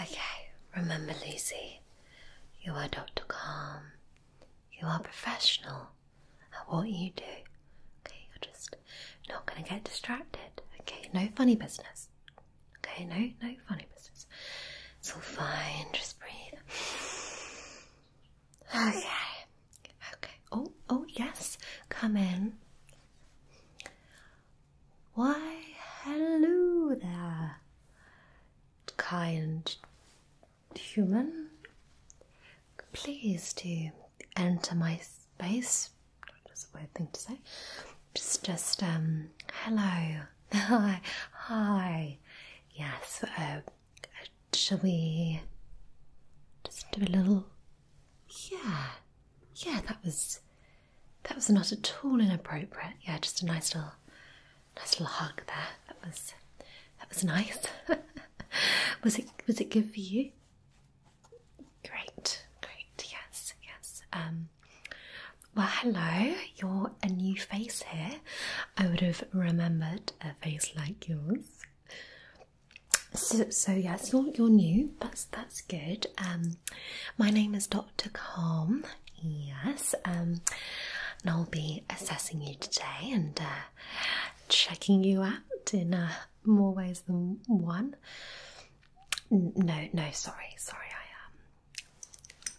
Okay, remember, Lucy, you are Dr. Calm. You are professional at what you do. Okay, you're just not going to get distracted. Okay, no funny business. Okay, no, no funny business. It's all fine, just breathe. Okay, okay. Oh, oh, yes, come in. Why, hello there, kind human. Please to enter my space. That's a weird thing to say. Just, just, um, hello. Hi. Hi. Yes. Uh, shall we just do a little. Yeah. Yeah, that was that was not at all inappropriate. Yeah, just a nice little, nice little hug there. That was, that was nice. was it? Was it good for you? Great, great. Yes, yes. Um, well, hello. You're a new face here. I would have remembered a face like yours. So, so yes, you're you're new. That's that's good. Um, my name is Dr. Calm. Yes, um, and I'll be assessing you today and uh, checking you out in uh, more ways than one. no, no, sorry, sorry. I um,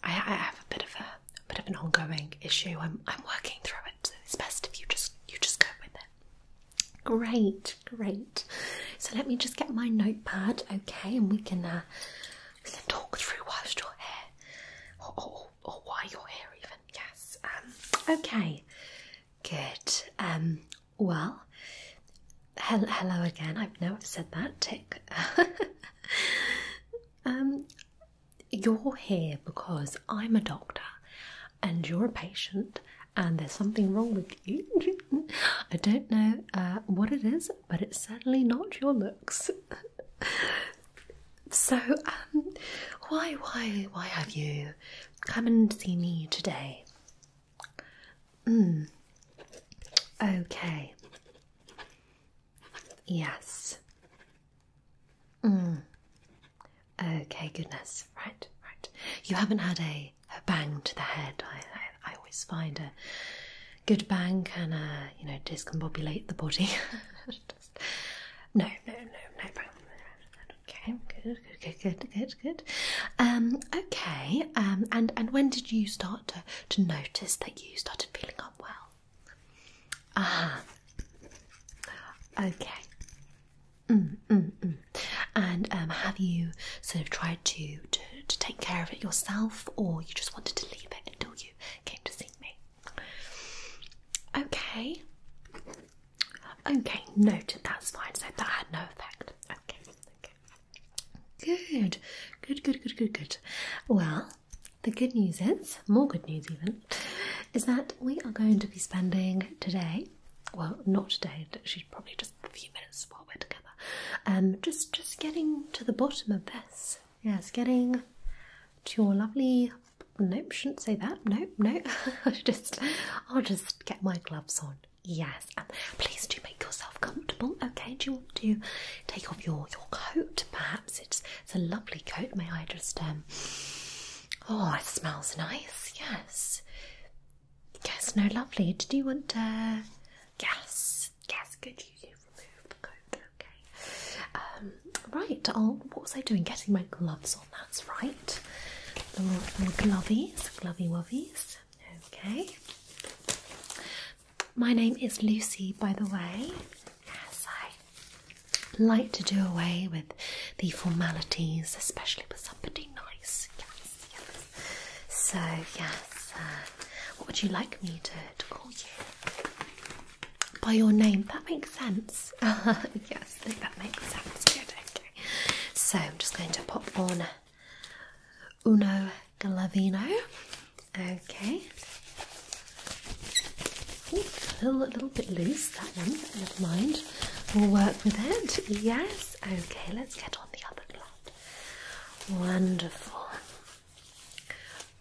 I, I have a bit of a, bit of an ongoing issue. I'm I'm working through it. So it's best if you just you just go with it. Great, great. So let me just get my notepad, okay, and we can. Uh, hair and talk through whilst you're here, or, why why your here even yes um, okay good um, well hello again i know i've said that tick um, you're here because i'm a doctor and you're a patient and there's something wrong with you i don't know uh, what it is but it's certainly not your looks. so, um, why, why, why have you come and see me today? Mm. Okay. Yes. Mm. Okay, goodness. Right, right. You haven't had a a, bang to the head. I, I, always find a good bang can, uh, you know, discombobulate the body. no, no, no, no Okay, good, good, good, good, good, Um, okay, um, and, and when did you start to, to notice that you started feeling unwell? Ah, okay. Mm, mm, mm. And um, have you sort of tried? inspired to, to take care of it yourself, or you just wanted to leave it until you came to see me. Okay. Okay, noted. That's fine. So that had no effect. Okay. Okay. Good. Good. Good. Good. Good. Good. Well, the good news is more good news even is that we are going to be spending today. Well, not today. She's probably just a few minutes while we're together. Um, just just getting to the bottom of this. Yes, getting to your lovely. Nope, shouldn't say that. Nope, no. I just, I'll just get my gloves on. Yes, um, please do make yourself comfortable. Okay, do you want to take off your your coat? Perhaps it's it's a lovely coat. May I just um. Oh, it smells nice. Yes. Yes, no, lovely. Did you want to? Uh, yes, Yes, good. You remove the coat, okay? Um, right. I'll, what was I doing? Getting my gloves on. That's right. Little, little glovies, glovey wovies. Okay. My name is Lucy, by the way. Yes, I like to do away with the formalities, especially with somebody nice. Yes. So, yes, uh, what would you like me to, call you? By your name, that makes sense. yes, that makes sense. Good, okay. So, I'm just going to pop on Uno Galavino. Okay. Ooh, a little, a little bit loose, that one, never mind. We'll work with it. Yes. Okay, let's get on the other glove. Wonderful.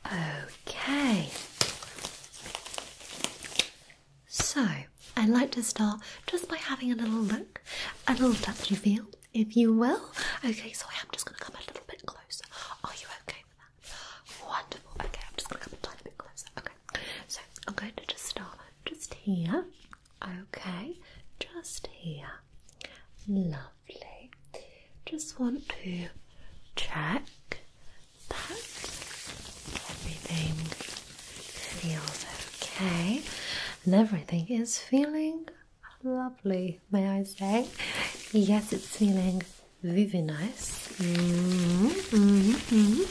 Okay. So, I'd like to start just by having a little look, a little touchy feel, if you will. Okay, so I am just going to come a little bit closer. Are you okay with that? Wonderful. Okay, I'm just going to come a tiny bit closer. Okay, so I'm going to just start just here. Okay, just here. Lovely. Just want to check that everything feels okay and everything is feeling lovely, may I say? Yes, it's feeling very nice. Mm-hmm, mm-hmm, mm-hmm.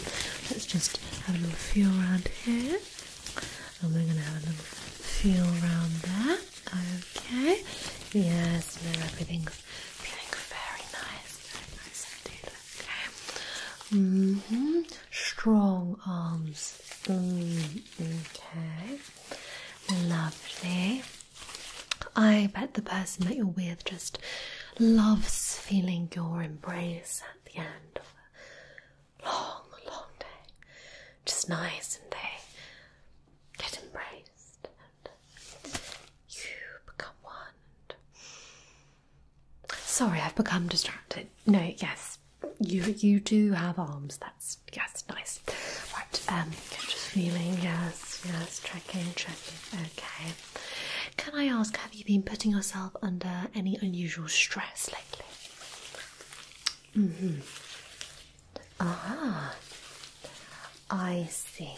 Let's just have a little feel around here and we're gonna have a little feel around there. Okay. Yes, no, everything's feeling very nice, very nice indeed. Okay. hmm Strong arms. Mm, okay. Lovely. I bet the person that you're with just loves feeling your embrace at the end of long, long day, just nice, and they get embraced, and you become one. Sorry, I've become distracted. No, yes, you you do have arms. That's yes, nice. Right, um, just feeling. Yes, yes, tracking, tracking. Okay. Can I ask, have you been putting yourself under any unusual stress lately? Mm -hmm. Ah, I see.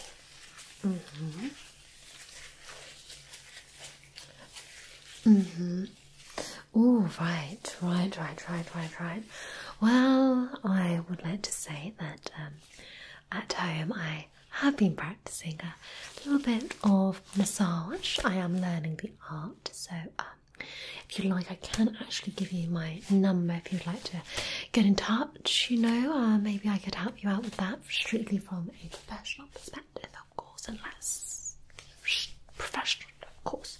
Mm hmm. Mm hmm. Oh, right, right, right, right, right, right. Well, I would like to say that um, at home I have been practicing a little bit of massage. I am learning the art, so um, if you like, I can actually give you my number if you'd like to get in touch. You know, uh, maybe I could help you out with that strictly from a professional perspective, of course, unless professional, of course,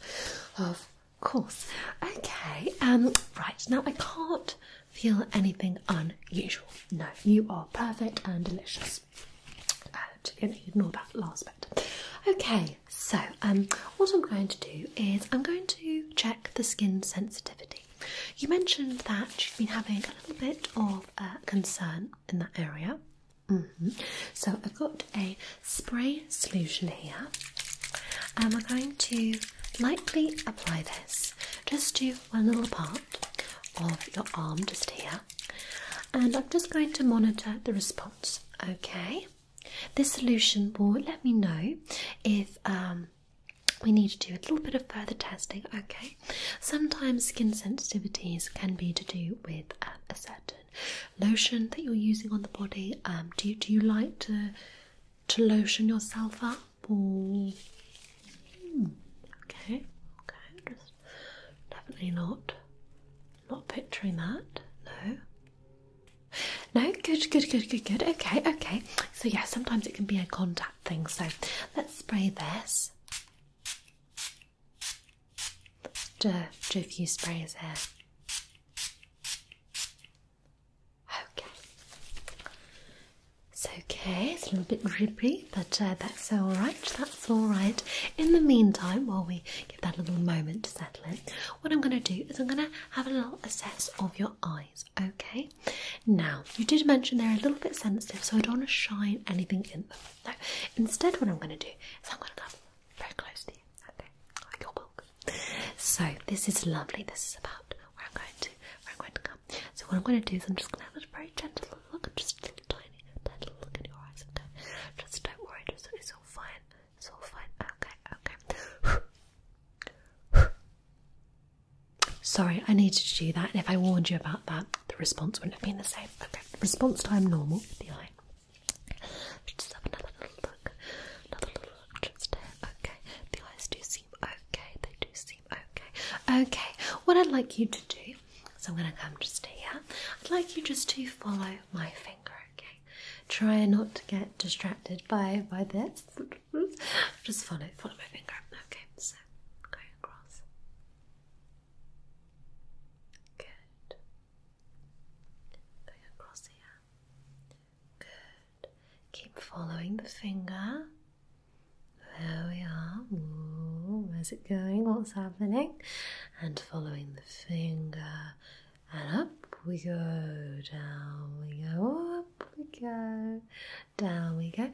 of course. Okay, um, right now I can't feel anything unusual. No, you are perfect and delicious. Uh, ignore that last bit. Okay, so, um, what I'm going to do is I'm going to check the skin sensitivity. You mentioned that you've been having a little bit of uh, concern in that area. Mm-hmm. So, I've got a spray solution here, and um, we're going to lightly apply this just to one little part of your arm, just here. And I'm just going to monitor the response, okay? This solution will let me know if um, we need to do a little bit of further testing. Okay, sometimes skin sensitivities can be to do with um, a certain lotion that you're using on the body. Um, do you, do you like to to lotion yourself up hmm. okay, okay, definitely not not picturing that, no. No, good, good, good, good, good. Okay, okay. So, yeah, sometimes it can be a contact thing. So, let's spray this. Do, a few sprays here. Okay. It's okay, it's a little bit drippy, but uh, that's alright, that's alright. In the meantime, while we that little moment to settle it. What I'm going to do is I'm going to have a little assess of your eyes, okay? Now, you did mention they're a little bit sensitive, so I don't want to shine anything in them. No, instead, what I'm going to do is I'm going to come very close to you, okay? Oh, your book. So, this is lovely. This is about where I'm going to, where I'm going to come. So, what I'm going to do is I'm just going to have a very gentle look, just a little tiny, tiny look in your eyes, okay? Just don't worry, just, it's all fine. So fine. Okay, okay. Sorry, I needed to do that. if I warned you about that, the response wouldn't have been the same. Okay, response time normal the eye. just have another little look. Another little look just here. Okay, the eyes do seem okay. They do seem okay. Okay, what I'd like you to do. So I'm going to come just here. I'd like you just to follow my finger, okay? Try not to get distracted by by this. Just follow follow my finger. Okay, so going across. Good. Going across here. Good. Keep following the finger. There we are. where's it going? What's happening? and following the finger, and up we go, down we go, up we go, down we go,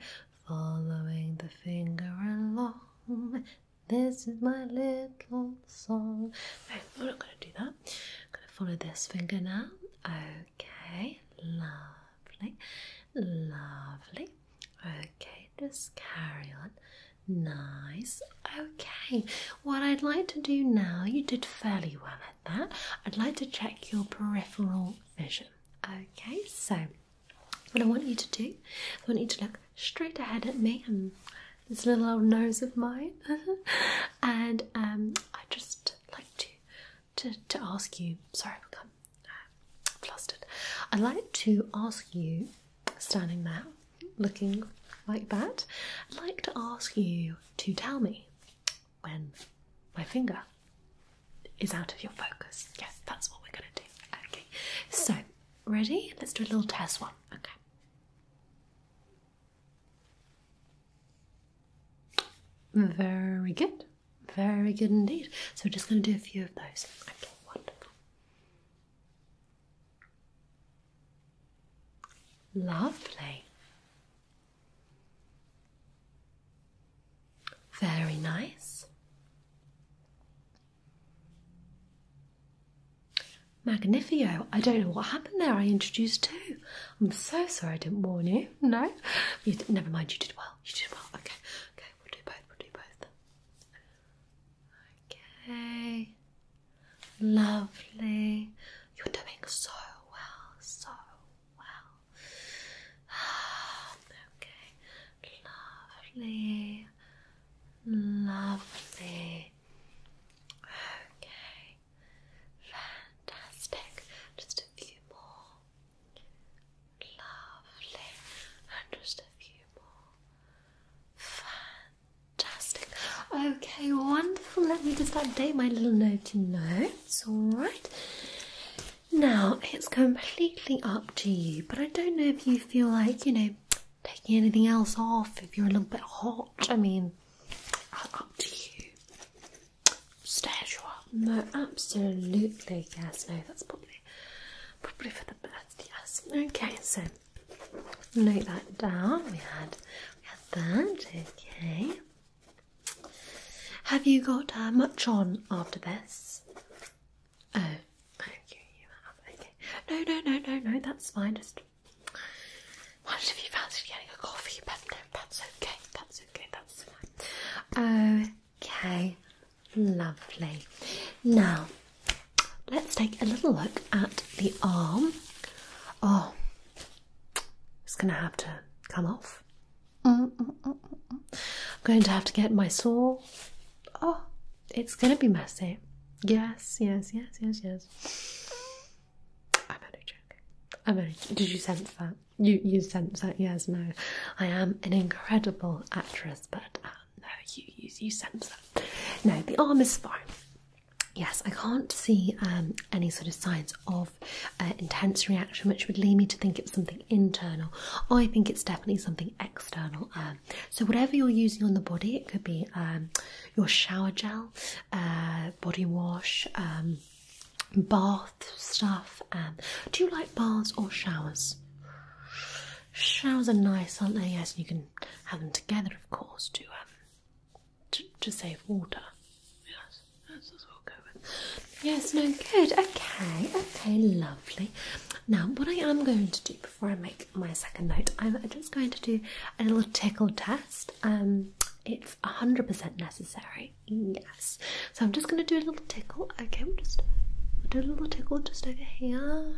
following the finger along. This is my little song. No, we're not going to do that. I'm going to follow this finger now. Okay, lovely, lovely. Okay, just carry on. Nice. Okay, what I'd like to do now, you did fairly well at that. I'd like to check your peripheral vision. Okay, so what I want you to do, I want you to look straight ahead at me and this little old nose of mine. and um, I just like to, to, to ask you, sorry, I've become uh, flustered. I'd like to ask you standing there looking like that, I'd like to ask you to tell me when my finger is out of your focus. Yes, that's what we're going to do. Okay, so ready? Let's do a little test one. Okay. Very good. Very good indeed. So we're just going to do a few of those. Okay, wonderful. Lovely. Very nice. Magnifico. I don't know what happened there. I introduced two. I'm so sorry I didn't warn you. No? never mind, you did well. You did well. Okay, okay, we'll do both, we'll do both. Okay. Lovely. You're doing so well, so well. Okay. Lovely. Lovely. Okay. Fantastic. Just a few more. Lovely. And just a few more. Fantastic. Fantastic. Okay, wonderful. Let me just update my little note in notes. Alright. Now, it's completely up to you, but I don't know if you feel like, you know, taking anything else off, if you're a little bit hot. I mean, uh, up to you. Stairs you up. No, absolutely, yes, no, that's probably probably for the best, yes. Okay, so Note that down. We had, we had that. Okay. Have you got uh, much on after this? Oh, you have. Okay. No, no, no, no, no. That's fine. Just wondered if you fancied getting a coffee, but no, that's okay. That's okay. That's fine. Okay. Lovely. Now. Let's take a little look at the arm. Oh, it's going to have to come off. I'm going to have to get my saw. Oh, it's going to be messy. Yes, yes, yes, yes, yes. I'm only joking. I'm only. Did you sense that? You you sense that? Yes, no. I am an incredible actress, but uh, no, you, you, you sense that. No, the arm is fine. Yes, I can't see um, any sort of signs of uh, intense reaction, which would lead me to think it's something internal. I think it's definitely something external. Um, so whatever you're using on the body, it could be um, your shower gel, uh, body wash, bath stuff. do you like baths or showers? Showers are nice, aren't they? Yes, you can have them together, of course, um, to to, save water. Yes, Yes, no, good. Okay, okay, lovely. Now, what I am going to do before I make my second note, I'm just going to do a little tickle test. Um, it's hundred percent necessary. Yes. So I'm just going to do a little tickle. Okay, we'll just do a little tickle just over here.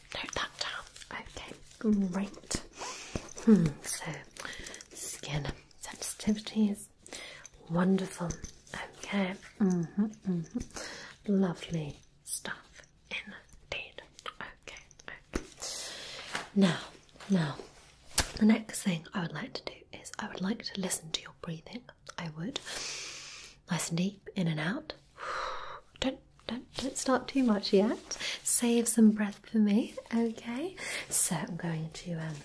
note that down. Okay, great. Hmm, so skin sensitivity is wonderful. Okay, mm-hmm, mm-hmm. lovely stuff indeed. okay. Now, now, the next thing I would like to do is I would like to listen to your breathing. I would nice and deep, in and out. Don't don't don't start too much yet. Save some breath for me, okay? So I'm going to um,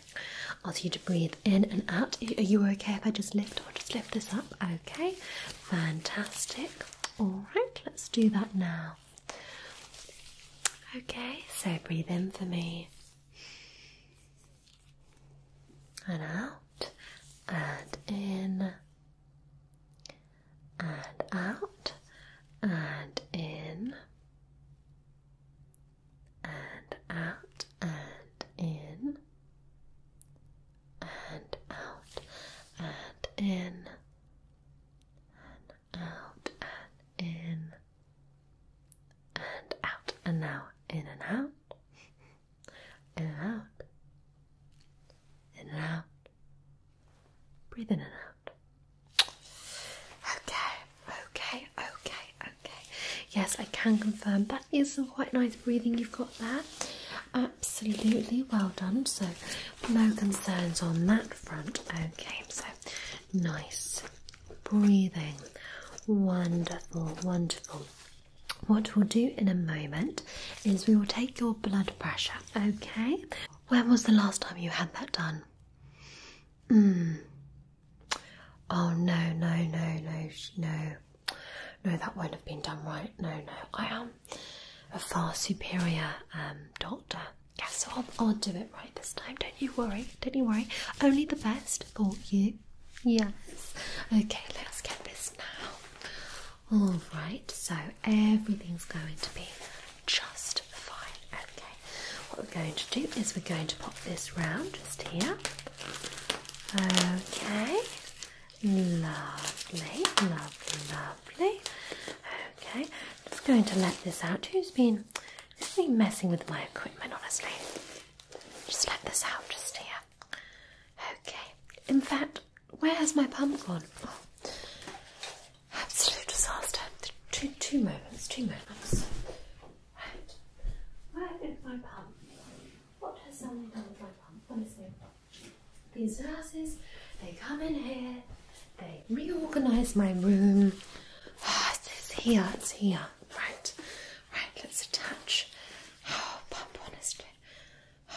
ask you to breathe in and out. Are you okay if I just lift or just lift this up? Okay, fantastic. All right, let's do that now. Okay, so breathe in for me and out and in and out and in and out and in and out and in and out and in and out and now in and out in and out. In and out. Breathe in and out. Okay, okay, okay, okay. Yes, I can confirm that is some quite nice breathing you've got there. Absolutely well done. So, no concerns on that front. Okay, so nice breathing. Wonderful, wonderful. What we'll do in a moment is we will take your blood pressure, okay? When was the last time you had that done? Mm. Oh no, no, no, no, no. No, that won't have been done right. No, no. I am a far superior um, doctor. Yes, i I'll do it right this time. Don't you worry. Don't you worry. Only the best for you. Yes. Okay, let's get this now. All right, so everything's going to be just fine. Okay, what we're going to do is we're going to pop this round just here. Okay, lovely, lovely, lovely. Okay, just going to let this out. who's been messing with my equipment, honestly? Just let this out just here. Okay. In fact, where's my pump gone? Absolute disaster. Two moments, two moments. Right. Where is my pump? What has someone done with my pump? Honestly. These nurses, they come in here, they reorganise my room. Oh, it's here, it's here. Right, right, let's attach. Oh, pump, honestly.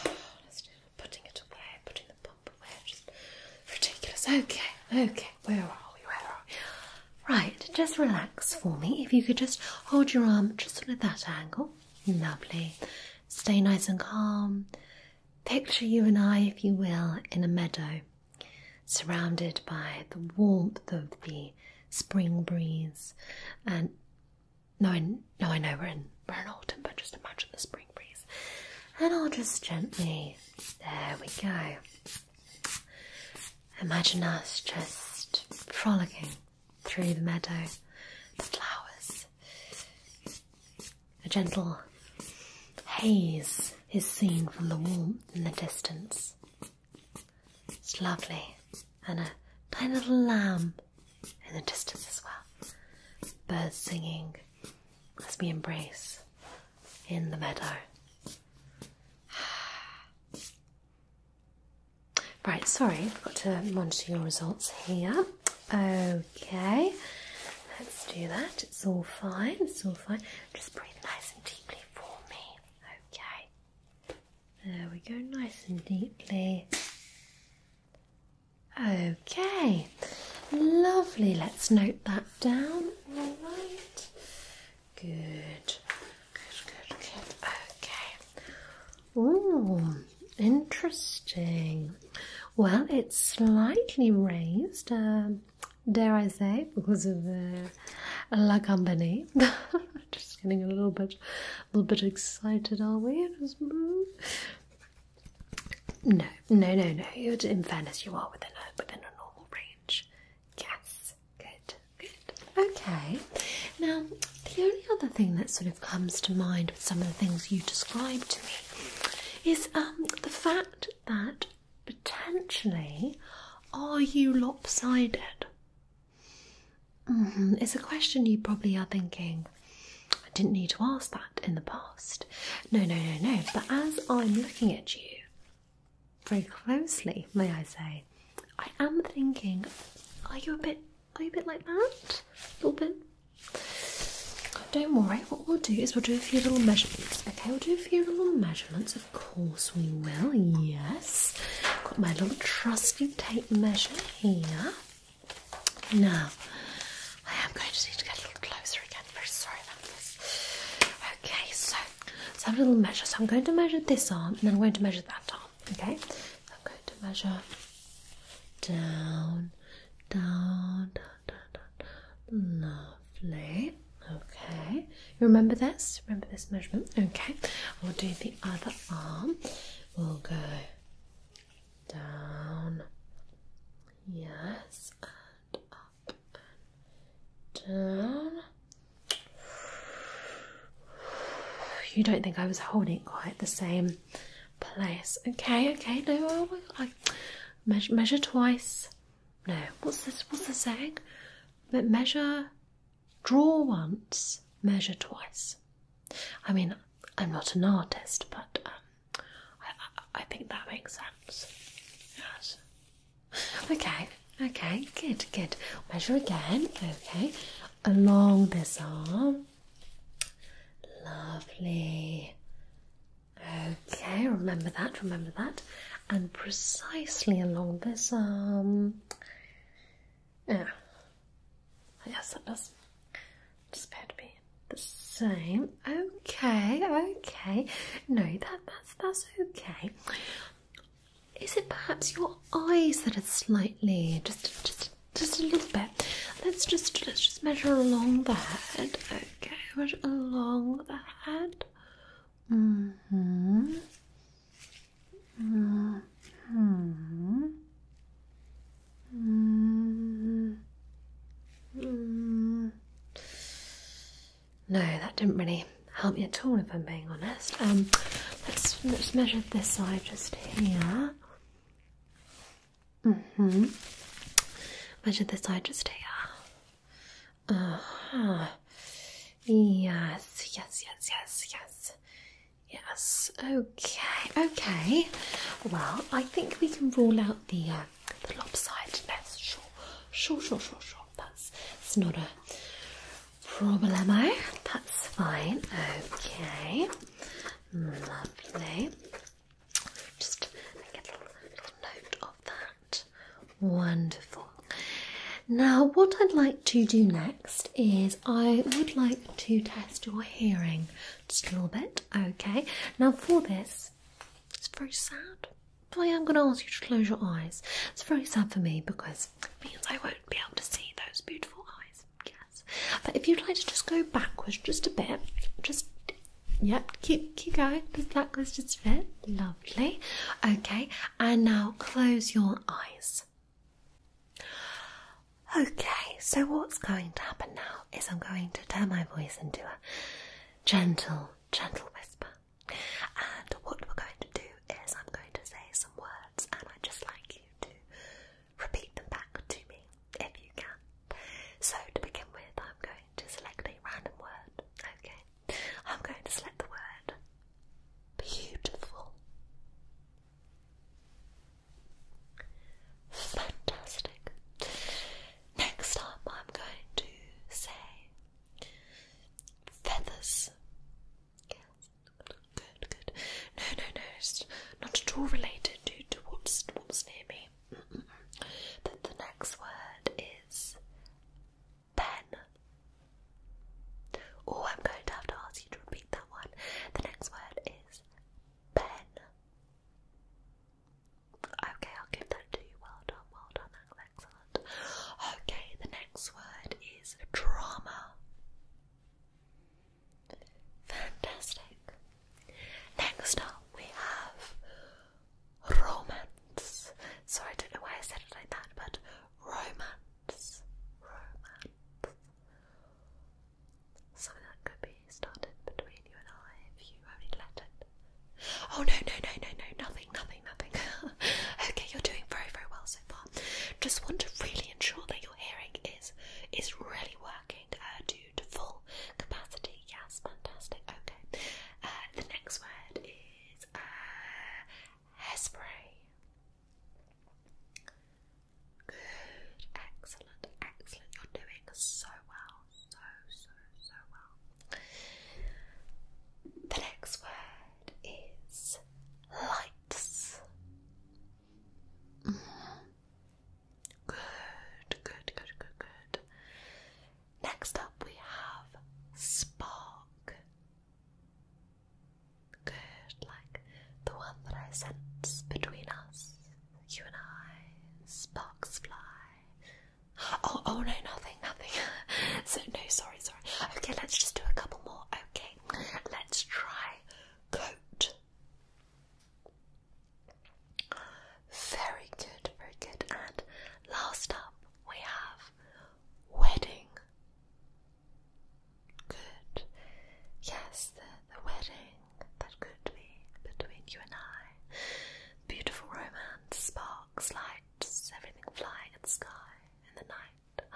Oh, honestly putting it away, putting the pump away. Just ridiculous. Okay, okay. Where are we? Where are we? Right, just relax for me. If you could just hold your arm just at that angle. Lovely. Stay nice and calm. Picture you and I, if you will, in a meadow, surrounded by the warmth of the spring breeze and no, I, no, I know we're in we're in autumn, but just imagine the spring breeze. And I'll just gently, there we go. Imagine us just frolicking through the meadow, the flowers. A gentle haze is seen from the warmth in the distance. It's lovely, and a tiny little lamb in the distance as well. Birds singing as we embrace in the meadow. Right, sorry, I've to monitor your results here. Okay, let's do that. It's all fine, it's all fine. Just breathe nice and deeply for me. Okay, there we go, nice and deeply. Okay, lovely. Let's note that down. All right. Good. Good, good, good. Okay. Oh, interesting. Well, it's slightly raised, um, dare I say, because of uh, La Compagnie? Just getting a little bit, a little bit excited, are we? Just move. Mm, no, no, no, no. You're in fairness, you are within a within a normal range. Yes, good, good. Okay. Now, the only other thing that sort of comes to mind with some of the things you described to me is um the fact that potentially are you lopsided? Mm-hmm. It's a question you probably are thinking, I didn't need to ask that in the past. No, no, no, no. But as I'm looking at you very closely, may I say, I am thinking, are you a bit, are you a bit like that? A little bit? Don't worry, what we'll do is we'll do a few little measurements. Okay, we'll do a few little measurements, of course we will, yes. Got my little trusty tape measure here. No, I am going to need to get a little closer again. I'm very sorry about this. Okay, so let's have a little measure. So I'm going to measure this arm and then I'm going to measure that arm. Okay, I'm going to measure down, down, down, down, down. Lovely. Okay, you remember this? Remember this measurement? Okay, we'll do the other arm. We'll go down, yes, and up and down. You don't think I was holding quite the same place? Okay, okay, no, oh measure, twice. No, what's this? What's the saying? measure, draw once, measure twice. I mean, I'm not an artist, but um, I, I think that makes sense. Yes. Okay, okay, good, good. Measure again, okay, along this arm. Lovely. Okay, remember that, remember that. And precisely along this arm. Yeah, Yes, that does just appear to be the same. Okay, okay. No, that that's that's okay. Is it perhaps your eyes that are slightly just just just a little bit? Let's just let's just measure along the head. Okay, measure along the head. hmm Mm -hmm. Mm -hmm. No, that didn't really help me at all, if I'm being honest. Um, let's let's measure this side just here. Mm hmm. Measure this side just here. Uh Yes, yes, yes, yes, yes. Yes. Okay. Okay. Well, I think we can rule out the uh, the lopsided. Sure. Sure. Sure. Sure. Sure. That's it's not a problemo. That's fine. Okay. Lovely. Just get a little note of that. Wonderful. Now, what I'd like to do next is. I would like to test your hearing just a little bit. Okay. Now for this, it's very sad. But I am going to ask you to close your eyes. It's very sad for me because it means I won't be able to see those beautiful eyes. Yes. But if you'd like to just go backwards just a bit, just yep, keep keep going. Just backwards just a bit. Lovely. Okay. And now close your eyes. Okay, so what's going to happen now is I'm going to turn my voice into a gentle, gentle whisper. And what we're going to do is I'm going to say some words and I'd just like you to repeat them back to me if you can. So to begin with, I'm going to select a random word. Okay, I'm going to select the word beautiful. Fantastic. Next up, I'm going to say feathers. Yes, good, good. No, no, no, it's not at all related to, what's, what's near me. the, the next word is pen. Oh, I'm going to have to ask you to repeat the next word is pen. Okay, I'll give that to you. Well done, well done, that excellent. Okay, the next word is drama. Fantastic. Next up, we have romance. Sorry, I don't know why I said it like that, but romance, romance, so that could be started between you and I if you only let it. Oh no no no no no nothing nothing nothing. okay, you're doing very very well so far. Just want to really ensure that your hearing is is really working uh, to full capacity. Yes, fantastic. Okay. Uh, the next word is uh, Good, excellent, excellent. You're doing so well, so, so, so well. The next word is lights. Mm-hmm. Good, good, good, good, good. Next up, we have spark. Good, like the one that I sense between us, you and I. Sparks fly. Oh, oh no, nothing, nothing. so no, sorry, sorry. Okay, let's just do a couple more. Okay, let's try coat. Very good, very good. And last up, we have wedding. Good. Yes, the, the wedding that could be between you and I. Beautiful romance, sparks, lights, everything flying in the sky in the night.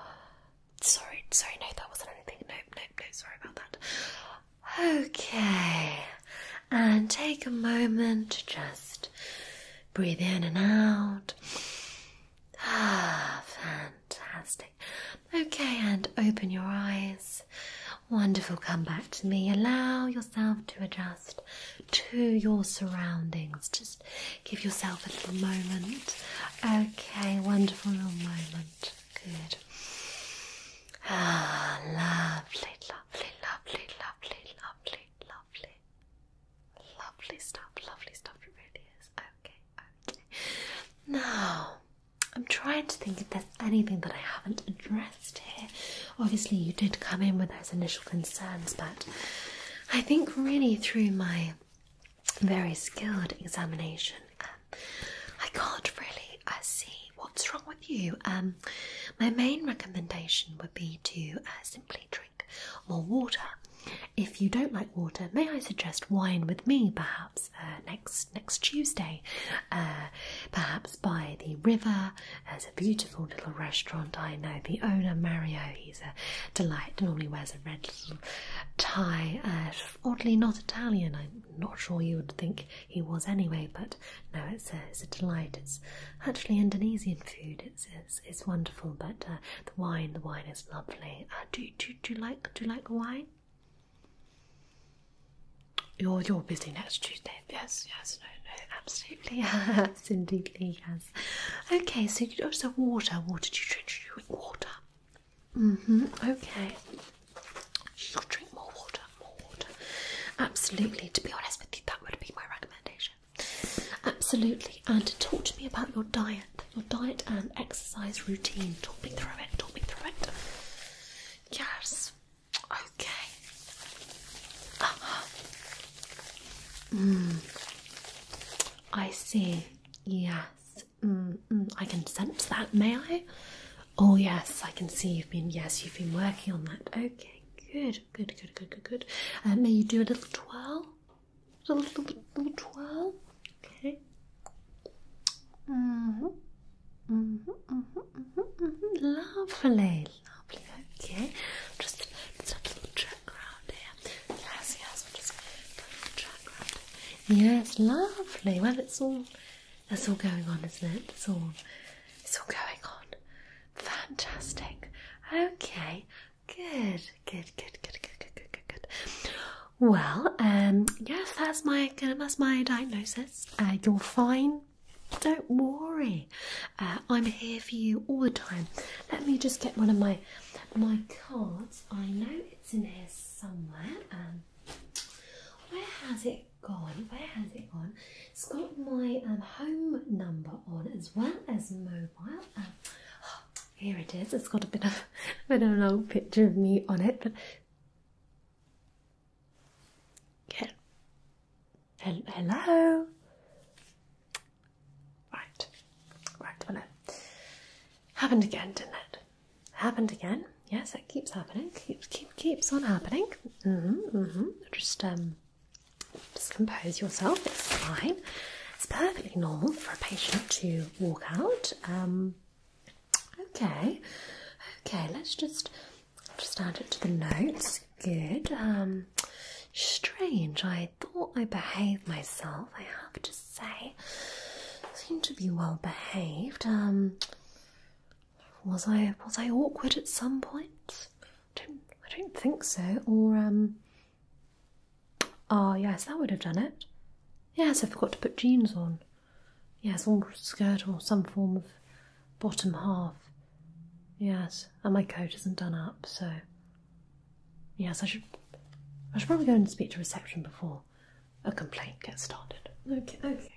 sorry, sorry, no, that wasn't anything. No, no, no. sorry about that. Okay. And take a moment to just breathe in and out. Ah, fantastic. Okay, and open your eyes. Wonderful. Come back to me. Allow yourself to adjust to your surroundings. Just give yourself a little moment. Okay, wonderful little moment. Good. Ah, lovely, lovely, lovely, lovely, lovely, lovely. Lovely stuff, lovely stuff, it really is okay, Now, I'm trying to think if there's anything that I haven't addressed here. Obviously, you did come in with those initial concerns, but I think really through my very skilled examination, um, I can't really uh, see what's wrong with you. Um, my main recommendation would be to uh, simply drink more water if you don't like water, may I suggest wine with me, perhaps uh, next next Tuesday, uh, perhaps by the river. There's a beautiful little restaurant. I know the owner, Mario. He's a delight. Normally wears a red tie. Uh, oddly, not Italian. I'm not sure you would think he was anyway, but no, it's a, delight. It's actually Indonesian food. It's it's, wonderful, but uh, the wine the wine is lovely. Uh, do, do, do you like do you like wine? You're you're busy next Tuesday. Yes, yes, no, no, absolutely, absolutely, yes. Okay, so you also water, water. Do you drink, do you drink water? hmm Okay. She'll drink more water, more water. Absolutely. To be honest with you, that would be my recommendation. Absolutely. And talk to me about your diet your diet and exercise routine. Talk me through it, talk me through it. Yes, okay. Uh I see, yes. Mm -mm. I can sense that, may I? Oh, yes, I can see you've been, yes, you've been working on that. Okay, good, good, good, good, good, good. Uh, may you do a little twirl? a little, little, little twirl. Okay. Mm -hmm. Mm -hmm, mm -hmm, mm -hmm, mm -hmm. Lovely, lovely. Okay, just, just a little check around here. Yes, yes, we'll just check around. Yes, lovely. Well, it's all, it's all going on, isn't it? It's all, it's all going on. Fantastic. Okay, Good, good, good, good, good, good, good, good, good. Well, um, yes, that's my that's my diagnosis. Uh, you're fine. Don't worry. Uh, I'm here for you all the time. Let me just get one of my my cards. I know it's in here somewhere. Um, where has it gone? Where has it gone? It's got my um, home number on as well as mobile. Um, here it is. It's got a bit of a bit of an old picture of me on it, but yeah. Hello. Right, right. Happened again, didn't it? Happened again. Yes, it keeps happening. Keeps keep keeps on happening. Mm-hmm, mm-hmm. Just um, just compose yourself. It's fine. It's perfectly normal for a patient to walk out. Um, okay, okay. Let's just just add it to the notes. Good. Um, strange. I thought I behaved myself. I have to say, seemed to be well behaved. Um, was I was I awkward at some point? I don't I don't think so. Or Ah, yes, that would have done it. Yes, I forgot to put jeans on. Yes, or skirt or some form of bottom half. Yes, and my coat isn't done up, so. Yes, I should. I should probably go and speak to reception before a complaint gets started. Okay, okay.